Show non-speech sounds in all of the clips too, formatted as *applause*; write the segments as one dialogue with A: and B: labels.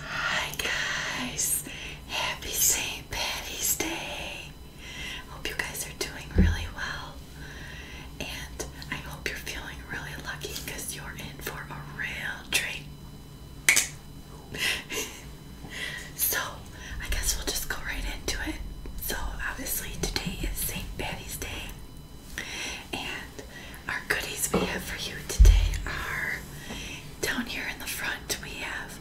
A: Hi guys! Happy St. Patty's Day! Hope you guys are doing really well. And I hope you're feeling really lucky you're in for a real treat. *laughs* so, I guess we'll just go right into it. So, obviously, today is St. Patty's Day. And our goodies we have for you today are down here in the front. We have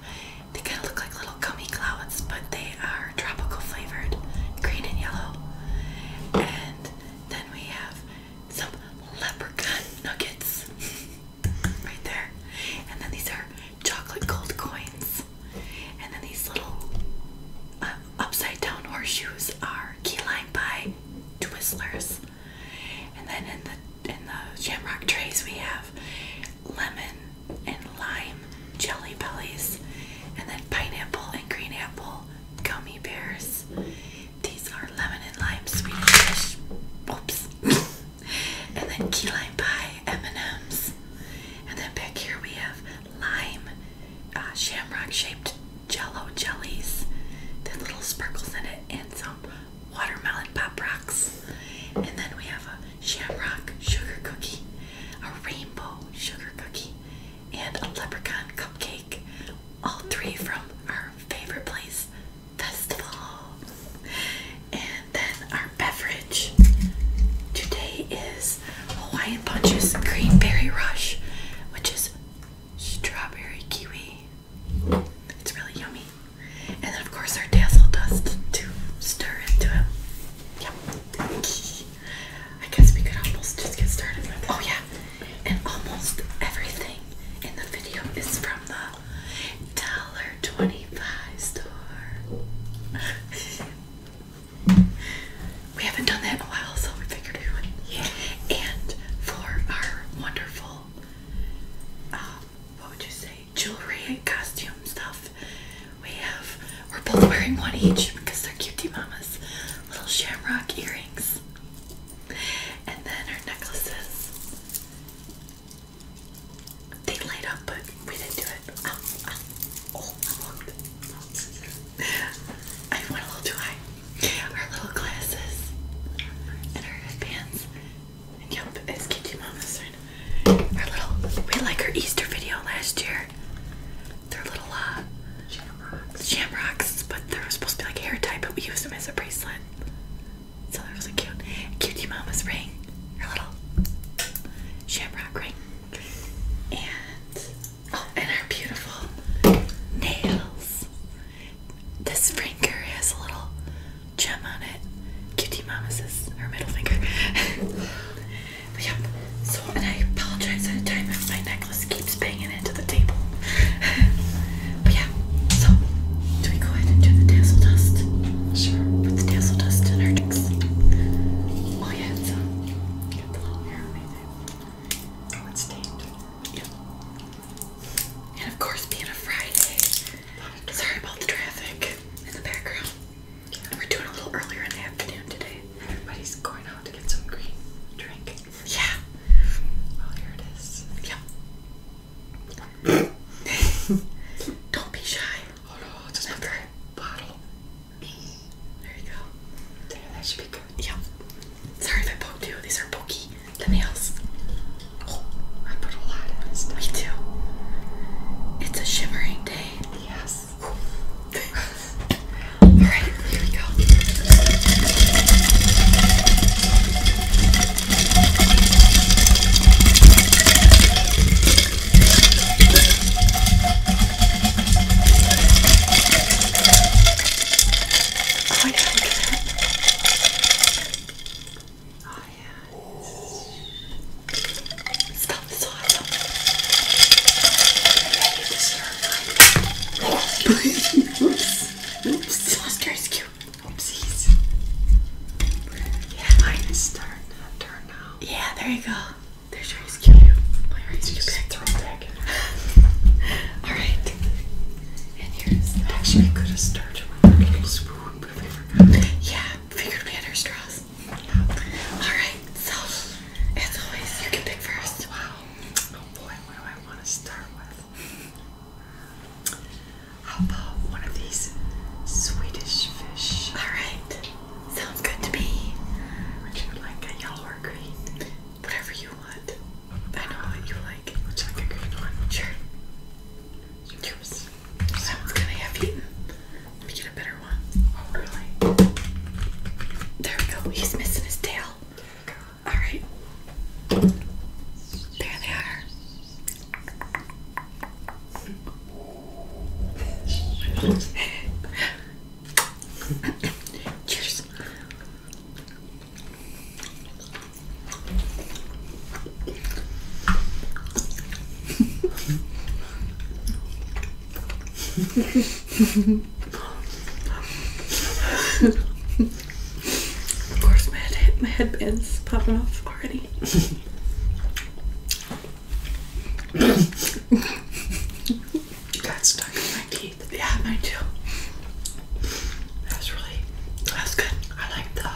A: they kind of look like little gummy clouds, but they are tropical flavored, green and yellow. And then we have some leprechaun nuggets *laughs* right there. And then these are chocolate gold coins. And then these little um, upside down horseshoes are key lime pie twizzlers. And then in the in the shamrock trays we have lemon and lime jelly bellies and then pineapple and green apple gummy bears. These are lemon and lime Swedish fish. Whoops. *laughs* and then key lime pie M&Ms. And then back here we have lime uh, shamrock shaped jello jellies. The little sparkles in it and so watermelon pop rocks. And then we have a shamrock sugar cookie, a rainbow sugar cookie, and a leprechaun cupcake. All three from our favorite place, Festival. And then our beverage today is Hawaiian Punch's Green Berry Rush, which is strawberry kiwi it's really yummy. And then, of course, our dazzle dust to stir into it. Yep. I guess we could almost just get started Oh, yeah. And almost everything in the video is from the dollar twenty-five store. *laughs* we haven't done that in a while, so we figured we would. Yeah. And for our wonderful what would you say, jewelry and costume stuff. We have, we're both wearing one each because they're cutie mamas. Little shamrock earrings. And then our necklaces. They light up, but we didn't do it. Oh, oh, oh, I went a little too high. Her little glasses and her headbands. And yep, it's Kitty Mama's right. Her little we like her Easter video last year. They're little uh shamrocks. but they're supposed to be like hair tie, but we used them as a bracelet. So they're so cute. Cutie Mama's ring. Her little shamrock ring. And oh, and her beautiful nails. This finger has a little gem on it. Cutie Mama says her middle finger. *laughs* yeah, so, and I apologize at a time if my necklace keeps banging into the table. *laughs* but yeah, so, do we go ahead and do the dazzle dust? Sure, put the dazzle dust in our drinks. Oh yeah, so, yeah. And of course, being a Friday. Sorry about the traffic in the background. We're doing a little earlier in the afternoon today. Everybody's going out to get some green drink. Yeah. Well, oh, here it is. Yeah. *laughs* Don't be shy. Oh no, it's just very bottle. There you go. Damn, that should be good. Yeah. Sorry if I poked you. These are pokey. The nails. Oh, I put a lot in this stuff. Me too. It's a shimmering day. Yes. *laughs* Alright, here we go. Oh my god, Oh yeah. Stuff is awesome. Ready to serve. Like, oops. Oops. Monster is cute. Oopsies. Yeah, mine is turn. Turn now. Yeah, there you go. There's your ice cube. My ice cube back. Throw that bag. Alright. And here's Actually, I could have started with a little spoon, but I forgot. Yeah, figured we had our straws. Alright, so, as always, you can pick first. Wow. Oh boy, what do I want to start with? How about one of these Swedish fish? Alright. Sounds good to me. Would you like a yellow or green? Whatever you you I know what you like. Would like a green one? Sure. Yours. That one's kind of eaten. Let get a better one. Oh, really? There we go. He's missing his tail. Alright. There they are. *laughs* Cheers of course, my, head, my headband's popping off already. you my teeth teeth. Yeah, mine too. That's really that's good. I like the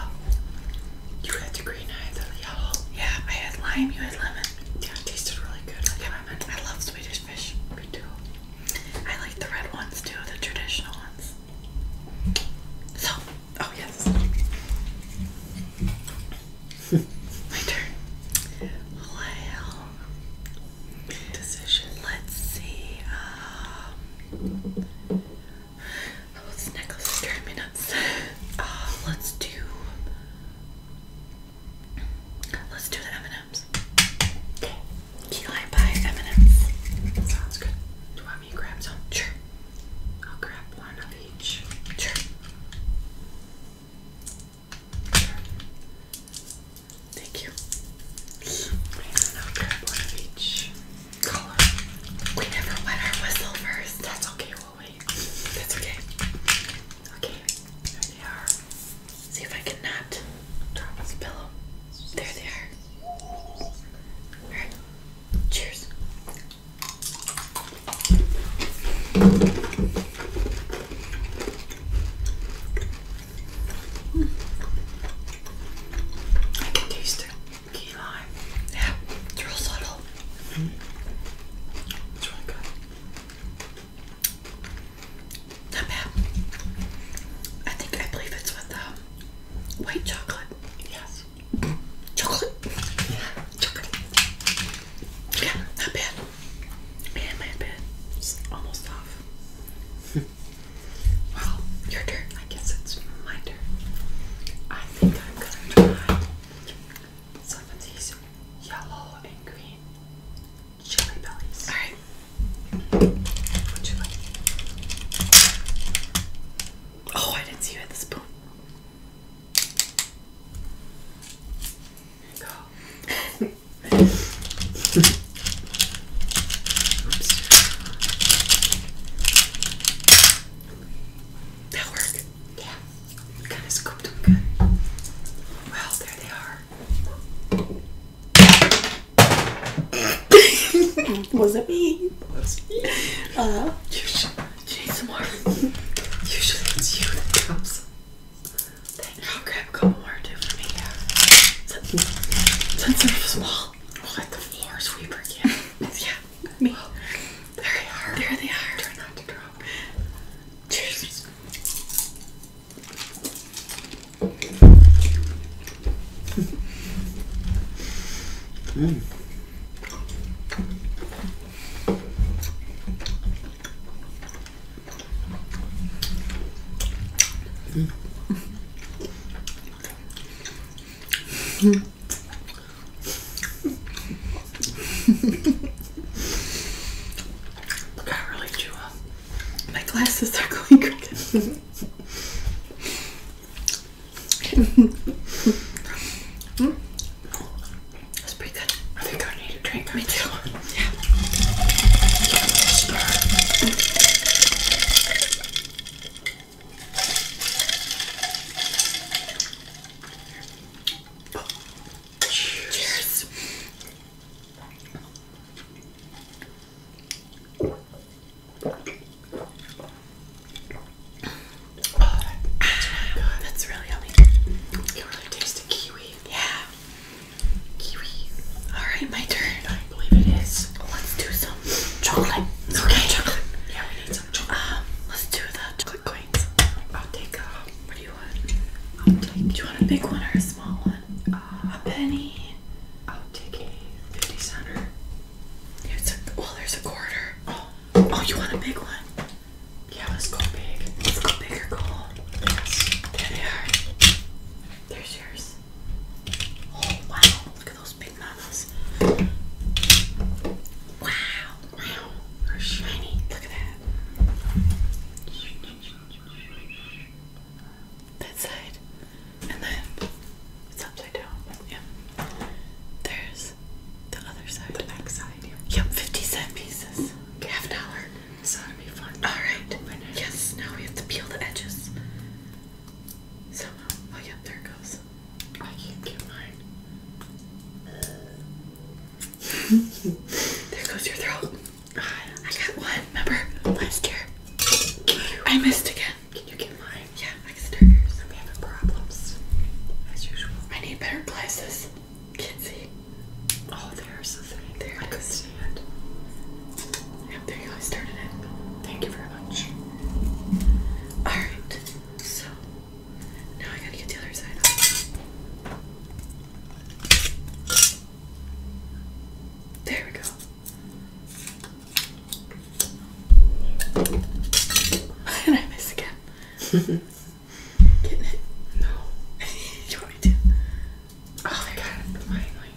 A: you had the green, I had the yellow. Yeah, I had lime, you had lemon. Yeah, it tasted really good. I like lemon. I love Swedish fish. Me too. I like the red ones too, the traditional ones. So, oh yes. *laughs* My turn. Well, decision. Let's see. Um, oh, this necklace me nuts. *laughs* Uh, let's do. Let's do the M&M's. Okay. Key lime pie M&M's. Sounds good. Do you want me to grab some? Sure. I'll grab one of each. sure. Thank you. We never wet our whistle first. That's okay, wait. That's okay. Okay, there they are. See if I can not drop this pillow. There they are. Alright, cheers. I can taste the key lime. Yeah, it's real subtle. Mm. It's really good. Not bad. I think I believe it's with um, white chocolate. Yes. Chocolate. Yeah, chocolate. Yeah, not bad. Man, my bed. It's almost off. *laughs* Well, your turn. I guess it's my turn. I think I'm gonna try some of these yellow and green chili bellies. Alright. Would you like? Oh, I didn't see you had the spoon. go. *laughs* right? That worked. Yeah. kind of scooped them good. Well, there they are. *laughs* Was it me? Was it me? Uh, Usually it's you then I'll grab a couple more too for me. Since, since they small, we'll let the floor sweeper get *laughs* Yeah, me. there they are. There they are. Try not to drop. Cheers. Hmm. I really chew My glasses are going crooked. *laughs* Hmm. That's pretty good. I think I need a drink. Me too. Cheers. Oh, that's really That's really yummy. You really taste the kiwi. Yeah. Alright, my turn. I believe it is. Let's do some chocolate. Okay. Chocolate. Yeah, we need some um, chocolate. Um, let's do the chocolate coins. I'll take What do you want? I'll take. Do you want a big one or a small one? a penny. I'll take a 50 center. It's a, well, there's a quarter. Oh. Oh, you want a big one? Yeah, let's go big. Let's go big or There they are. There's yours. Oh wow! Look at those big mamas. Wow! Wow! They're shiny. Look at that. That side, and then upside down. Yeah. There's the other side. The back side. Yep. Fifty cent pieces. Half dollar. So that'll be fun. Alright. Yes, now we have to peel the edges. Somehow. Oh, yeah, there it goes. I can't get mine. *laughs* there goes your throat. I got one, remember? Last year. I missed again. Can you get mine? Yeah, I can start yours. I'm having problems. As usual. I need better glasses. Can't see. Oh, there's the thing. There, I could see it. Yep, there you go. I started it. Thank you very much. Alright, so now I gotta get the other side There we go. Why *laughs* did I miss again? *laughs* Getting it? No. *laughs* you already did. Oh, I got it finally.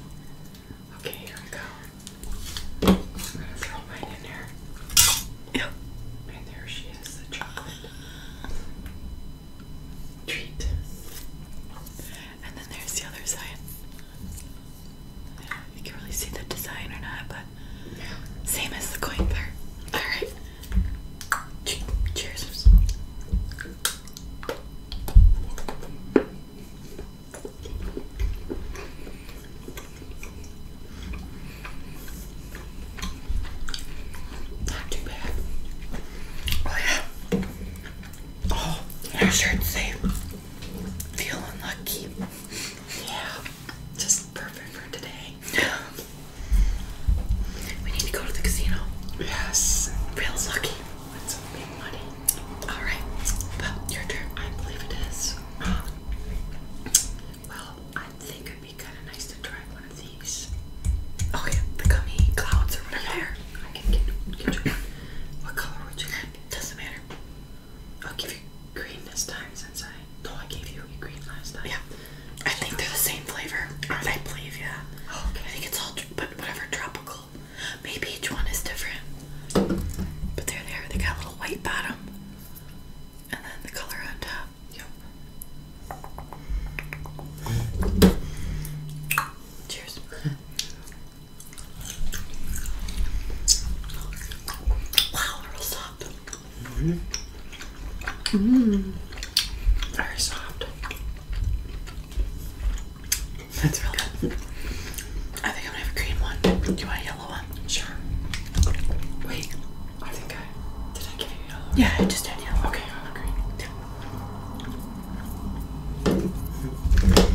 A: Okay, here we go. I'm gonna throw mine in there. Yep. And there she is, the chocolate treat. And then there's the other side. I don't know if you can really see the design or not, but yeah. same as the coin part. Alright. Cheers. Not too bad. Oh yeah. Oh, I should feeling lucky. Yeah. Just perfect for today. *gasps* We need to go to the casino. Yes. Real lucky want some big money. Alright, your turn, I believe it is. Well, I think it'd be kind of nice to try one of these. Oh the gummy clouds or whatever. Yeah. I can get, you What color would you like? Doesn't matter. I'll give you green this time since I though I gave you green last time. Yeah. I think they're the same flavor. Right. I believe, yeah. Okay. I think it's all but whatever tropical. Maybe each one is different. But they're there. They got a little white bottom, and then the color on top. Yep. Cheers. Wow, they're soft. Mmm. very soft. That's really good. I think I'm gonna have a green one. Do you want a yellow one? Sure. Wait, I think I did I get you yellow? Yeah, I just had yellow. Okay, I'll have green. Yeah.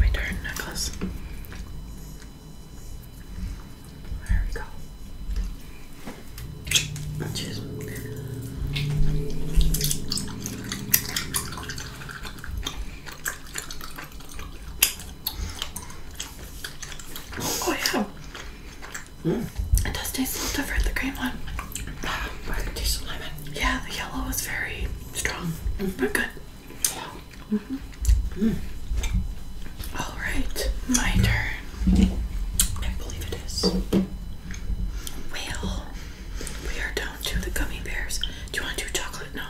A: My darn necklace. There we go. Oh yeah. Mm. It does taste a little different, the green one. but ah, it tastes lemon. Yeah, the yellow is very strong, mm-hmm. but good. Mm mm. All right, my turn. I believe it is. Well, we are down to the gummy bears. Do you want to do chocolate? No.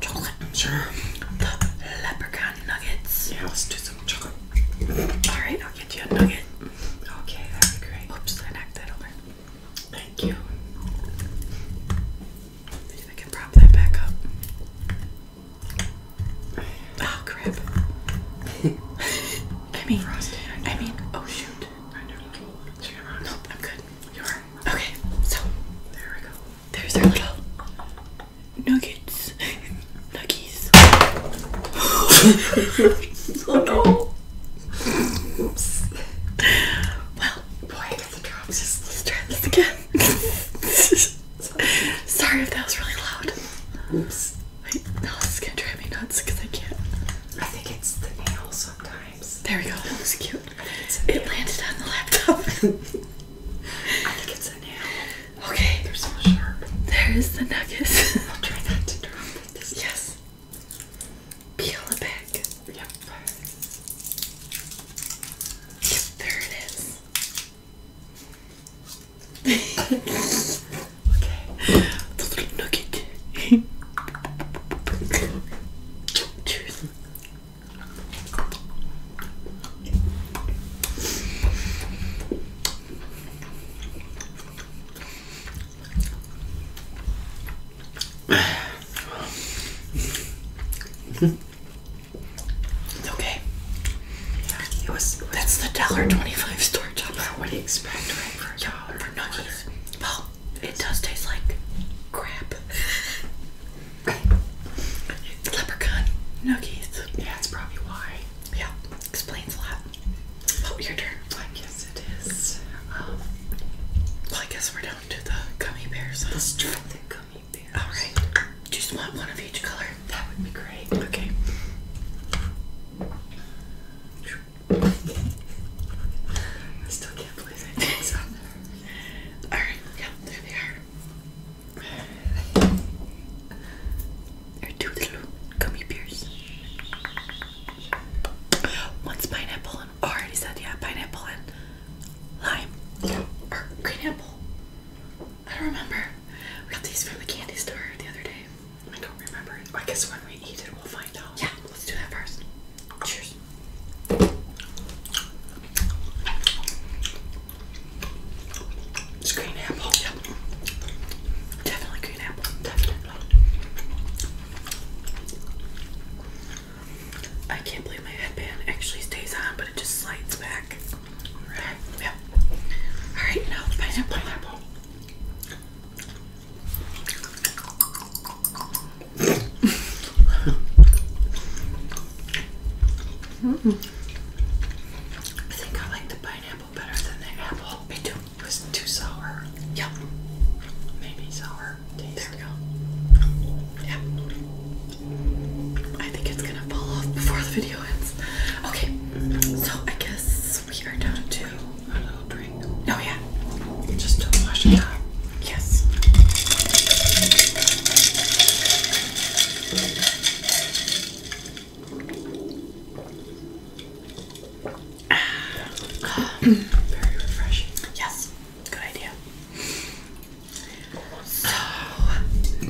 A: Chocolate? Sure. The leprechaun nuggets. Yeah, let's do some chocolate. Alright, I'll get you a nugget. Okay, that'd be great. Oops, I knocked that over. Thank you. I can prop that back up. Oh crap. *laughs* I mean, I mean, oh shoot. Okay, so there we go. There's our little nuggets. Nuggets. Well, boy, the drops. Let's again. Sorry if that was really loud. Oops this is gonna drive me nuts because I can't. I think it's the nail sometimes. There we go. That was cute. It landed on the laptop. I think it's a nail. Okay. They're so sharp. There is the nuggets. I'll try not to drop it this Yes. Peel it back. Yep, there it is. *laughs* Okay. The little nugget. Cheers. it's okay. That's the dollar twenty-five store job. What do you expect, right? For yeah. Or nuggies. Well, it does taste like crap. it's *laughs* leprechaun nuggies. Yeah, that's probably why. Yeah, explains a lot. Oh, your turn. I guess it is. Um, well, I guess we're down to the gummy bears. Huh? Let's try the gummy bear. All right. Just want one of each color. That would be great. Okay. I still can't believe I did so. Alright, yeah, there they are. They're two little gummy bears. One's pineapple and oh, already said yeah, pineapple and lime. Yeah. Or green apple. I don't remember. We got these from the candy store the other day. I don't remember. I guess when we eat it, we'll find out. Yeah, let's do that first. Cheers. It's green apple. Yeah. Definitely green apple. Definitely. I can't believe my headband actually stays on, but it just slides back. Right. Yeah. All right, now pineapple. pineapple mm I think I like the pineapple better than the apple. Me too. It was too sour. Yep. Maybe sour. There we go. Yeah. I think it's gonna fall off before the video ends. Okay, so I guess possibly are down to a little drink. Oh yeah. Just don't wash it up. Yes. Very refreshing. Yes. Good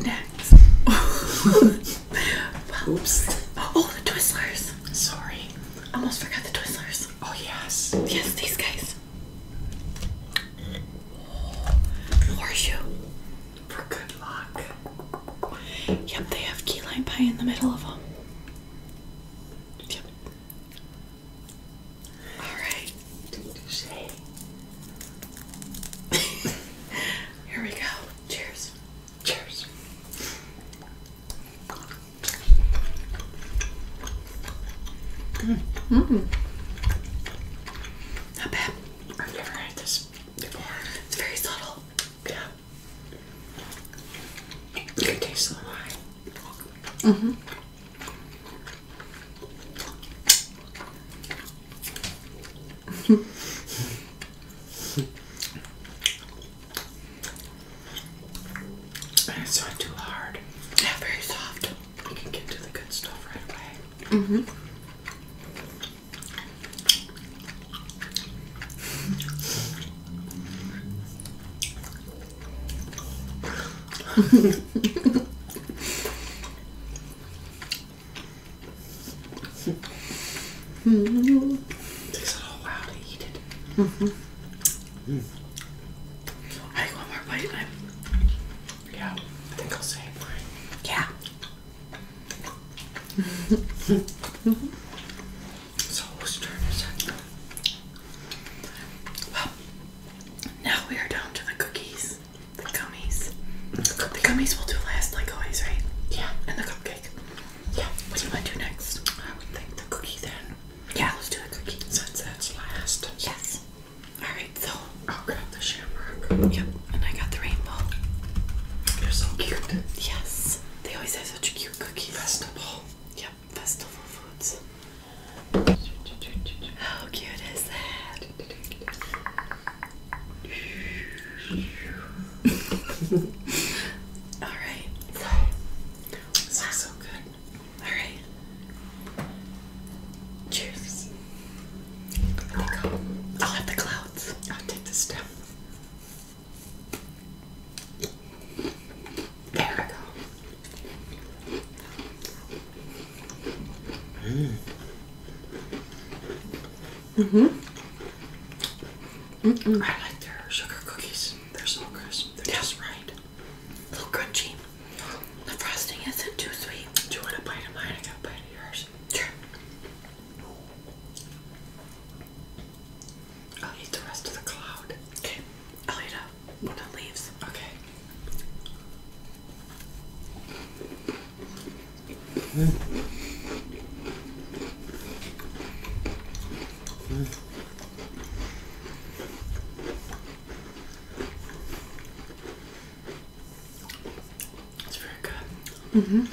A: idea. next *laughs* Oops! Oh, the Twizzlers. Sorry. Almost forgot the Twizzlers. Oh, yes. Yes, these guys. Horseshoe. For good luck. Yep, they have key lime pie in the middle of them. Alright. *laughs* Here we go. Cheers. Cheers. Mm. Mm Not bad. I've never had this before. It's very subtle. Yeah. You taste the wine. Mm-hmm. *laughs* it's not too hard. Yeah, very soft. You can get to the good stuff right away. Mm hmm. *laughs* *laughs* Mm-hmm. Takes a little while to eat it. Mm-hmm. Mm. I think one more bite. I'm... Yeah, I think I'll say it. Yeah. Mm-hmm. *laughs* So whose turn is it? Well, now we are down to the cookies, the gummies. The, the gummies we'll do last, like always, right? Yeah, and the cupcake. Yeah. What do you want to do next? I would think the cookie then. Yeah, let's do a cookie. Since that's uh, last. Yes. Alright, so. I'll grab the shamrock. Yep, and I got the rainbow. They're so cute. Yes. They always have such a cute cookie Festival. Yep, festival foods. How cute is that? *laughs* All right. So, this so good. All right. Cheers. There we go. I'll have the clouds. I'll take this down. There we go. hmm I like their sugar cookies. They're so crisp. They're just right. A little crunchy. The frosting isn't too sweet. Do you want a bite of mine? I got a bite of yours. Sure. I'll eat the rest of the cloud. Okay. I'll eat up when it leaves. Okay. Mm. It's very good. hmm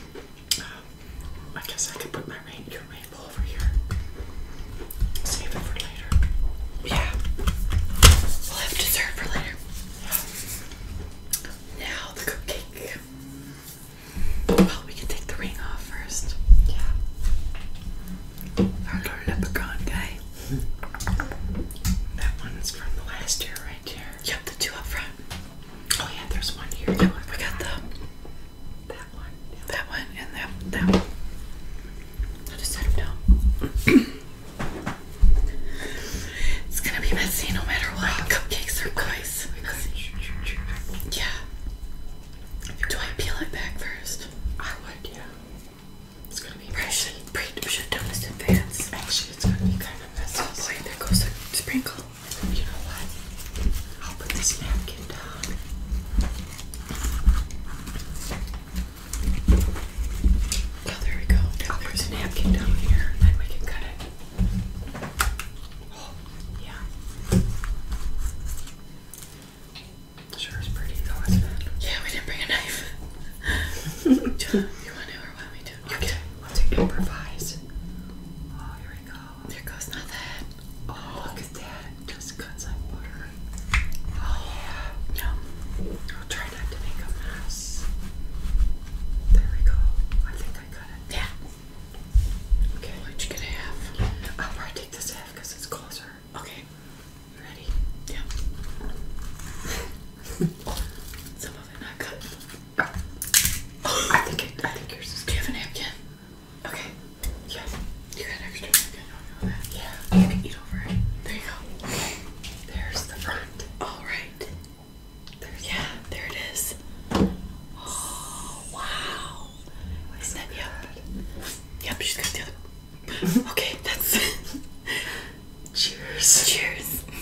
A: I guess I could put my rain your over here. Save it for later. Yeah. We'll have dessert for later. Now the cupcake. Well, we can take the ring off first. Yeah. Our little leprechaun guy. that one's from the last year, right here. Yep, the two up front. Oh yeah, there's one here. We got the that one, yep. that one, and that that one. I'll just set them down. it's gonna be messy no matter what. Cupcakes are good. Yeah. Do I peel it back first? I would, yeah. It's gonna be pressure. We should have done in advance. Actually, it's gonna be kind of messy. Oh, boy, there goes a sprinkle. You know what? I'll put this napkin down. Oh, there we go. Now there's napkin down here, and then we can cut it yeah. Sure is pretty though, Yeah, we didn't bring a knife. *laughs* you want to or want me to? Okay, let improvise. Oh, here we go. There goes nothing. Oh, look at that. Just cuts like butter. Oh, yeah. No. I'll try not to make a mess. There we go. I think I got it. Yeah. Okay, what you gonna have? I'll probably take this half because it's closer. Okay, you ready? Yeah. *laughs* Some of it not cut. I think I think yours is. Good. Do Okay. Yeah. You got an extra napkin? I Yeah. You can eat over it. There you go. There's the front. All right yeah, there it is. Oh *gasps* wow! Isn't that yep? Yep, she's got the other. Okay, that's. *laughs* Cheers. Cheers. *gasps*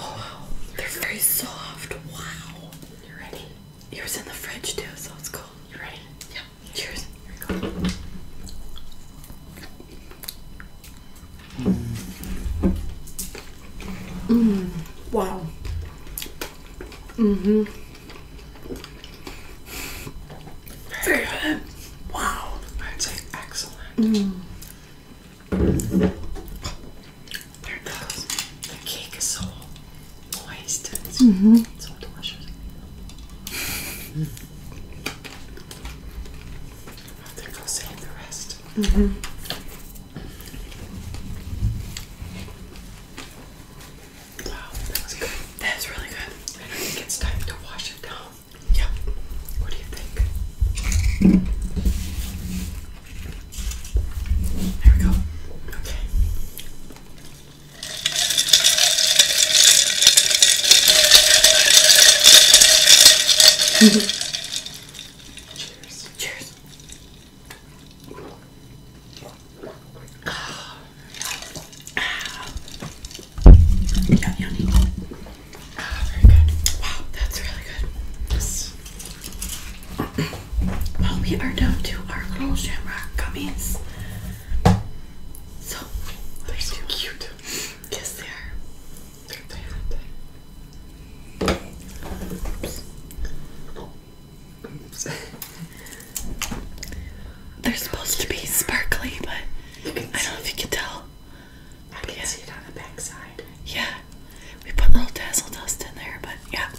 A: Oh, they're very soft. Wow. You ready? Yours in the fridge too, so it's cool. You ready? Yeah. Cheers. Here we go. Mm. Wow. Mm-hmm. Very good. Wow. I'd say excellent. Mm. There goes. The cake is so moist -hmm. so delicious. I *laughs* think I'll save the rest. Mm -hmm. Wow, that good. That's really good. I think it's time to wash it down. Yeah. What do you think? There we go. Okay. *laughs* Cheers. Cheers. Yum, Ah, very good. Wow, that's really good. Yes. Well, we are down to our little shamrock gummies. So, they're so cute. Yes, they are. *laughs* They're supposed to be sparkly, but I don't know if you can tell. I but can yeah. see it on the backside. Yeah, we put little dazzle dust in there, but yeah,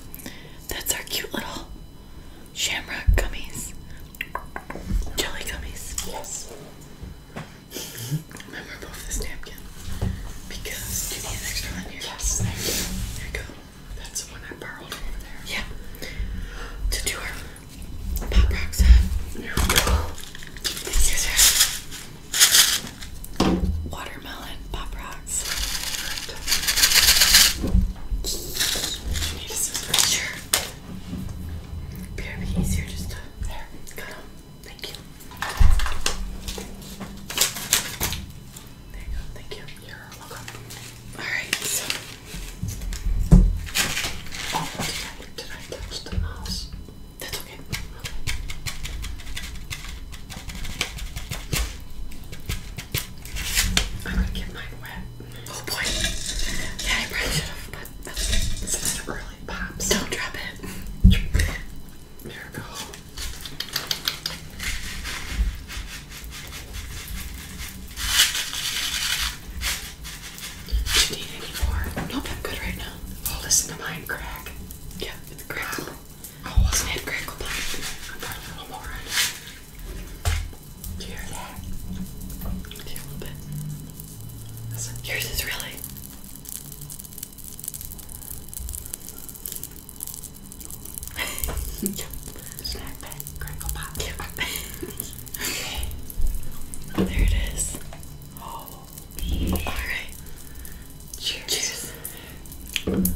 A: that's our cute little shamrock gummies, jelly gummies. Yes. I'm this napkin because you need an extra one here? Yes, thank you. There you go. That's the one I borrowed over there. Yeah. To do our pop rocks on. Here go. watermelon pop rocks. you need a scissors? Sure. be easier just to there, cut them. Thank you. There you go. Thank you. You're welcome. All right. oh, did I, did the mouse? That's okay. okay. I'm gonna get mine wet. Oh boy. Yeah, I probably should have, but that's okay. It's not really Don't drop it. there we go. Do you need any more? Nope, I'm good right now. Oh, listen to mine crack. Yeah, it's crackle. Oh, wasn't it crackle pop? I'm part a little more right now. Do you hear that? Do you hear a little bit? Listen, yours is really. Snack pack, crackle pop. *laughs* there it is. Oh. All right. Cheers. *laughs*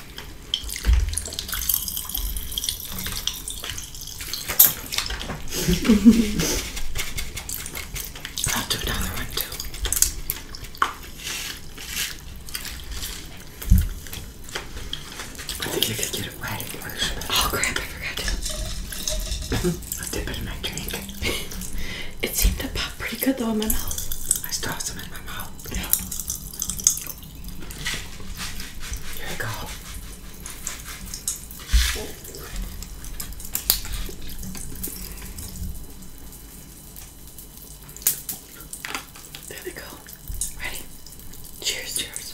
A: I'll do another one too. I think you could get it right, wet in marshmallow. Oh crap, I forgot to. Mm-hmm. I'll dip it in my drink. *laughs* it seemed to pop pretty good though in my mouth. I still have some in my mouth. There we go. Ready? Cheers, cheers.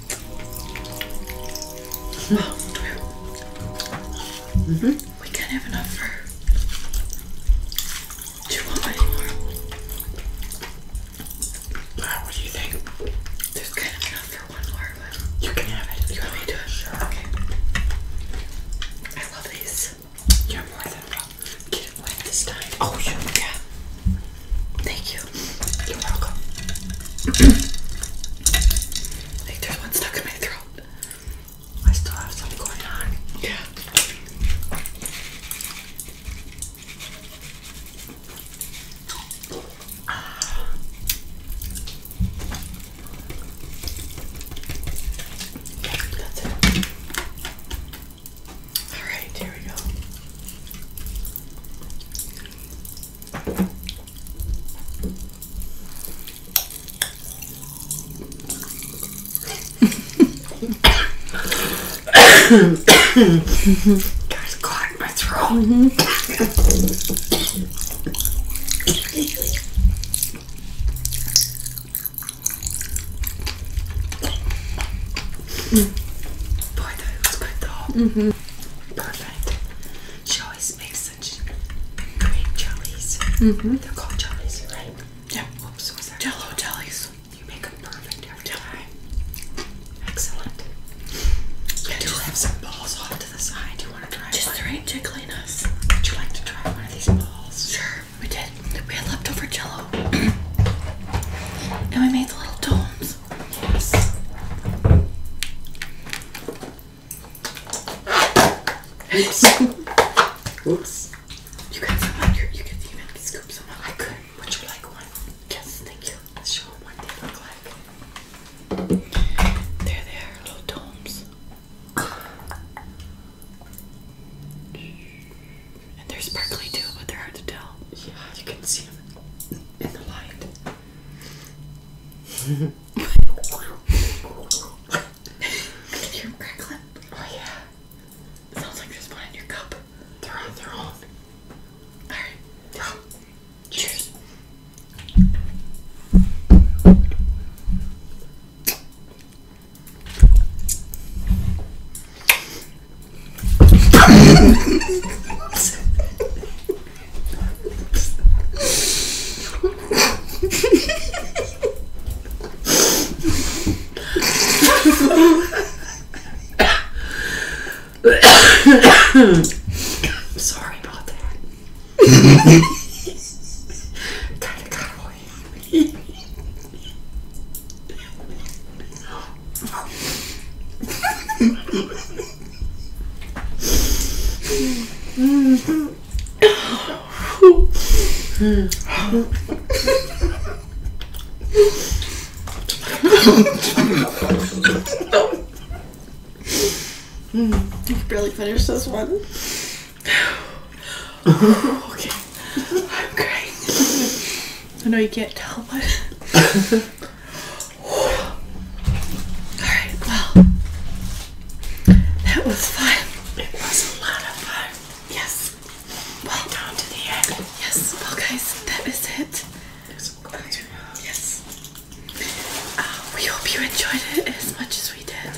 A: Mm -hmm. We can't have enough for too much anymore. Wow, what do you think? There's kind of enough for one more, but you can have it. You want me to Sure. Okay. I love these. You're more than welcome. Get it wet this time. Oh, yeah. Thank you. You're welcome. like there's one stuck in my throat. I still have something going on. Yeah. Ah. That's it. All right, here we go. There's caught in Mm. Boy, that was good mm-hmm. Perfect. She always makes such great jellies. Mm -hmm. They're called jellies, right? Yeah. Whoops, was that Jello jellies? You make them perfect every Jello. time. Excellent. Yeah, do have some balls off to the side. Do you want to try? Just one? the right jiggliness. Would you like to try one of these balls? Sure. We did. We had leftover jello. and *clears throat* we made the little domes. Oops. Oops. You got some your, you can even scoop I could. Would you like one? Yes, thank you. show them what they look like. There they little domes. And they're sparkly too, but they're hard to tell. Yeah, you can see them in the light. I can hear them Oh yeah. sounds like there's one in your cup. They're on their own. Alright. Cheers. I'm sorry about that. *laughs* kind of got away. I barely finished this one. *sighs* okay. I'm great. I know you can't tell, but. Alright, well. That was fun. It was a lot of fun. Yes. Well, down to the end. Yes. Well, guys, that is it. Yes. Uh, we hope you enjoyed it as much as we did.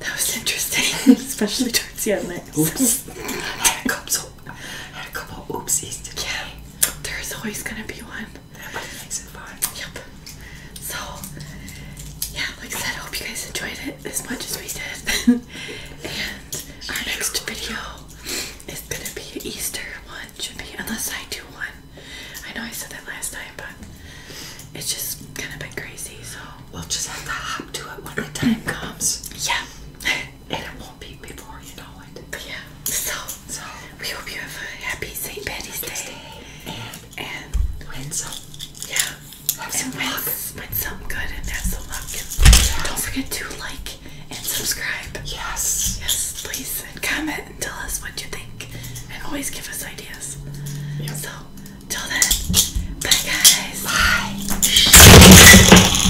A: That was, interesting, *laughs* especially towards the end. Oops. *laughs* I so a couple oopsies today. Yeah, there's always gonna be one. That makes it fun. Yep. So yeah, like I said, I hope you guys enjoyed it as much as we did. *laughs* and our next video is gonna be an Easter one, should be unless I do one. I know I said that last time, but it's just kind of been crazy. So we'll just have to hop to it when the time comes. Yeah. *laughs* and it won't be before you know it. But yeah. So, so we hope you have a happy St. Patty's Day. Day. And, and win some. Yeah. Have and some win, luck. Win some good and have some luck. Yes. Don't forget to like and subscribe. Yes. Yes, please. And comment and tell us what you think. And always give us ideas. Yep. So, till then, bye guys. Bye.